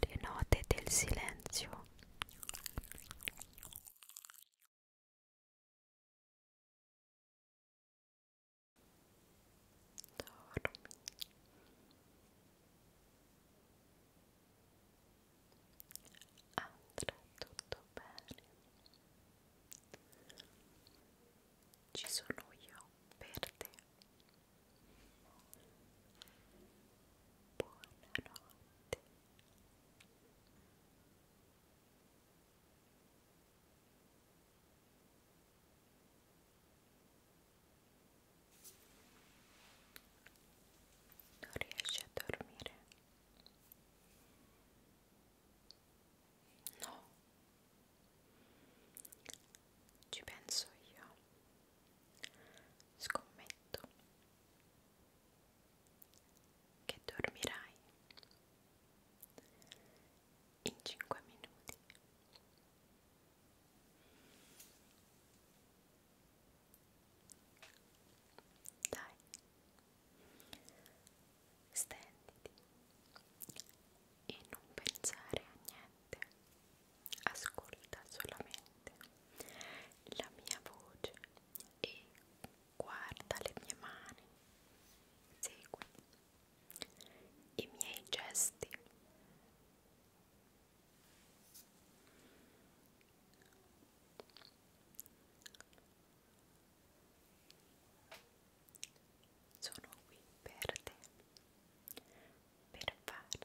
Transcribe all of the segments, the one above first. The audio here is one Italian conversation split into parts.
Le note del silenzio. Dormi. Andrà tutto bene. Ci sono io per te. Buonanotte. Non riesci a dormire? No, ci penso io. Scommetto che dormirai in cinque minuti. Dai, stenditi e non pensare a niente, ascolta solamente la mia voce e guarda le mie mani, segui i miei gesti. Sono qui per te, per farti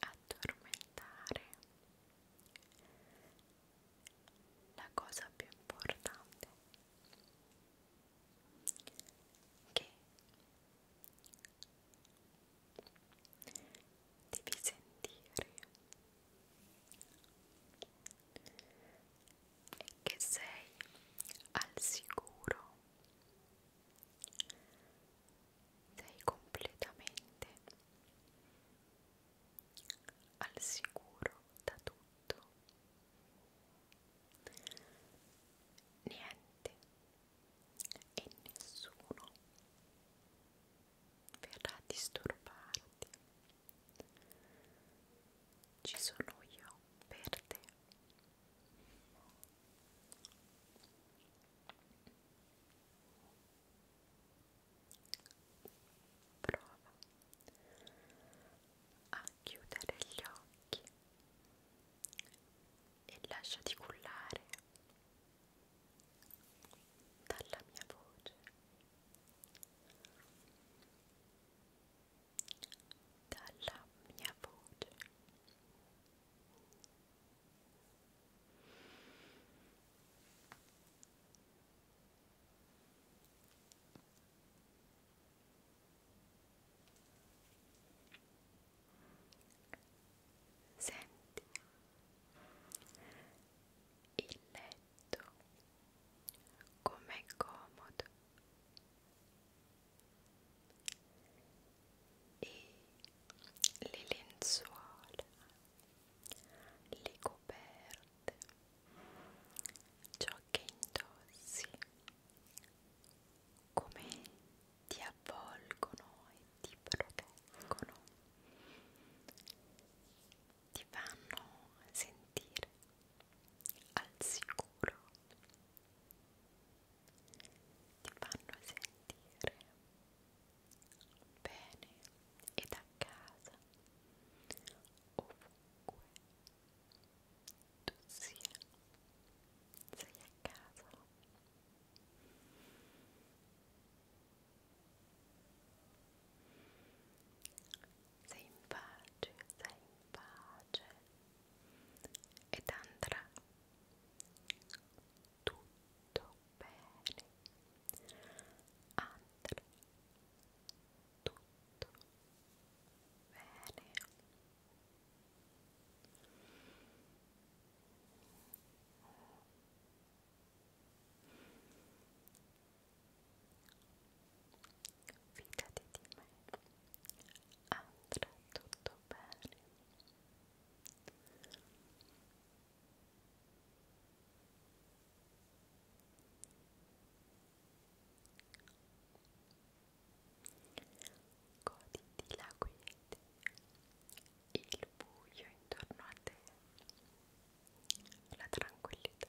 addormentare. La cosa più importante che devi sentire e che sei al sicuro, sei completamente al sicuro da tutto, niente e nessuno verrà a disturbarti ci sono io per te. Prova a chiudere gli occhi e lasciati cullare dalla mia voce dalla mia voce Senti il letto com'è comodo e le lenzuola, le coperte, ciò che indossi come ti avvolgono e ti proteggono ti fanno sentire al sicuro, ti fanno sentire bene ed a casa ovunque tu sia, sei a casa sei in pace, sei in pace ed andrà tutto bene, andrà tutto bene. Fidati di me, andrà tutto bene. Goditi la quiete, il buio intorno a te, la tranquillità.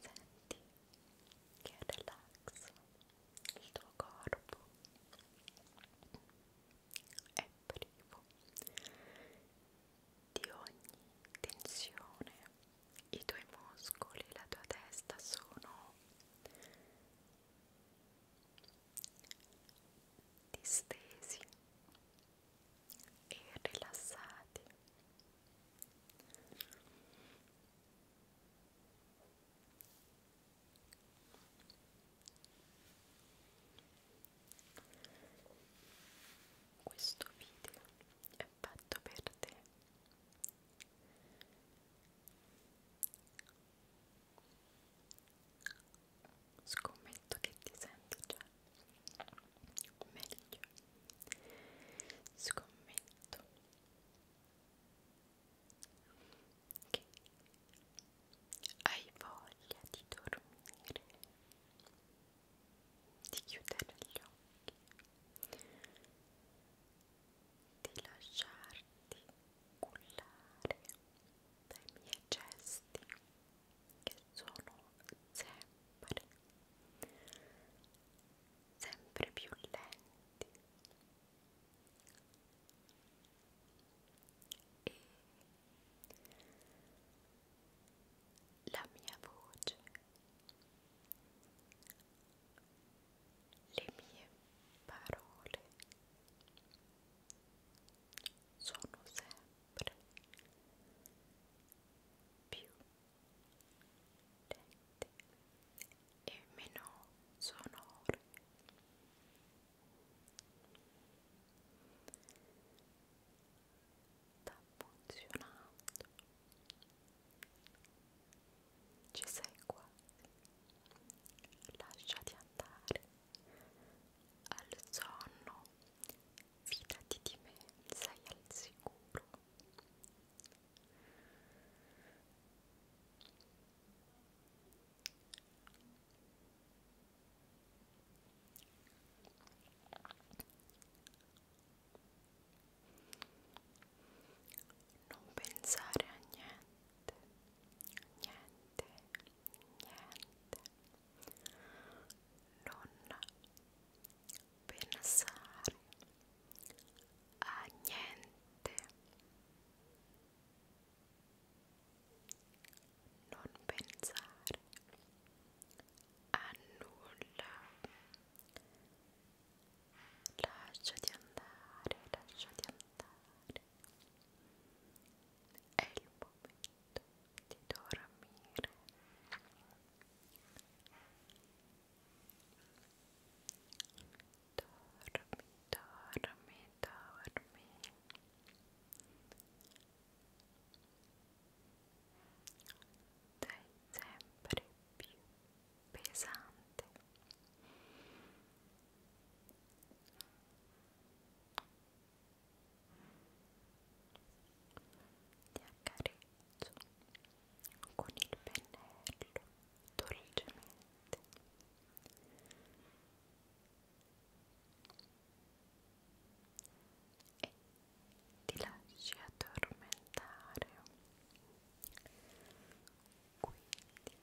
senti che relax il tuo corpo è privo di ogni tensione i tuoi muscoli la tua testa sono distesi e rilassati. Questo video è fatto per te. Scommetto che ti senti già meglio scommetto che hai voglia di dormire di chiudere gli occhi di lasciarti cullare dai miei gesti che sono sempre sempre più lenti e la mia voce le mie parole sono sempre più lente e meno sonore sta funzionando ci sei quasi lasciati andare al sonno fidati di me, sei al sicuro. Non pensare a niente, niente, niente. Non pensare a niente non pensare a nulla lasciati andare lasciati andare è il momento di dormire dormi, dormi, dormi sei sempre più pesante Dormi, dormi, dormi, ti accarezzo con il pennello dolcemente e ti lasci addormentare quindi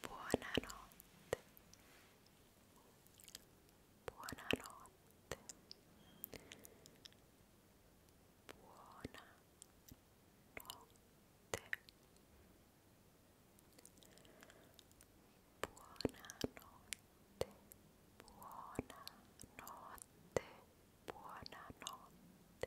buonanotte buonanotte notte buona notte buona notte buona notte buona notte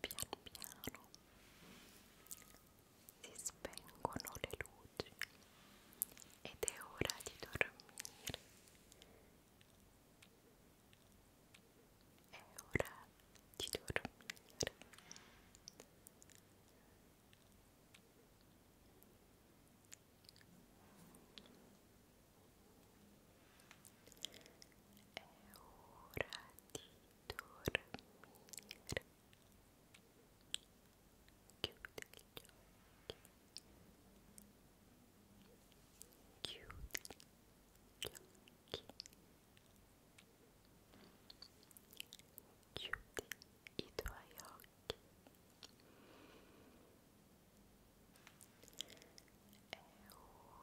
piano piano si spengono le luci ed è ora di dormire è ora di dormire è ora di dormire chiudi gli occhi chiudi gli occhi chiudi i tuoi occhi è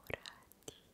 ora di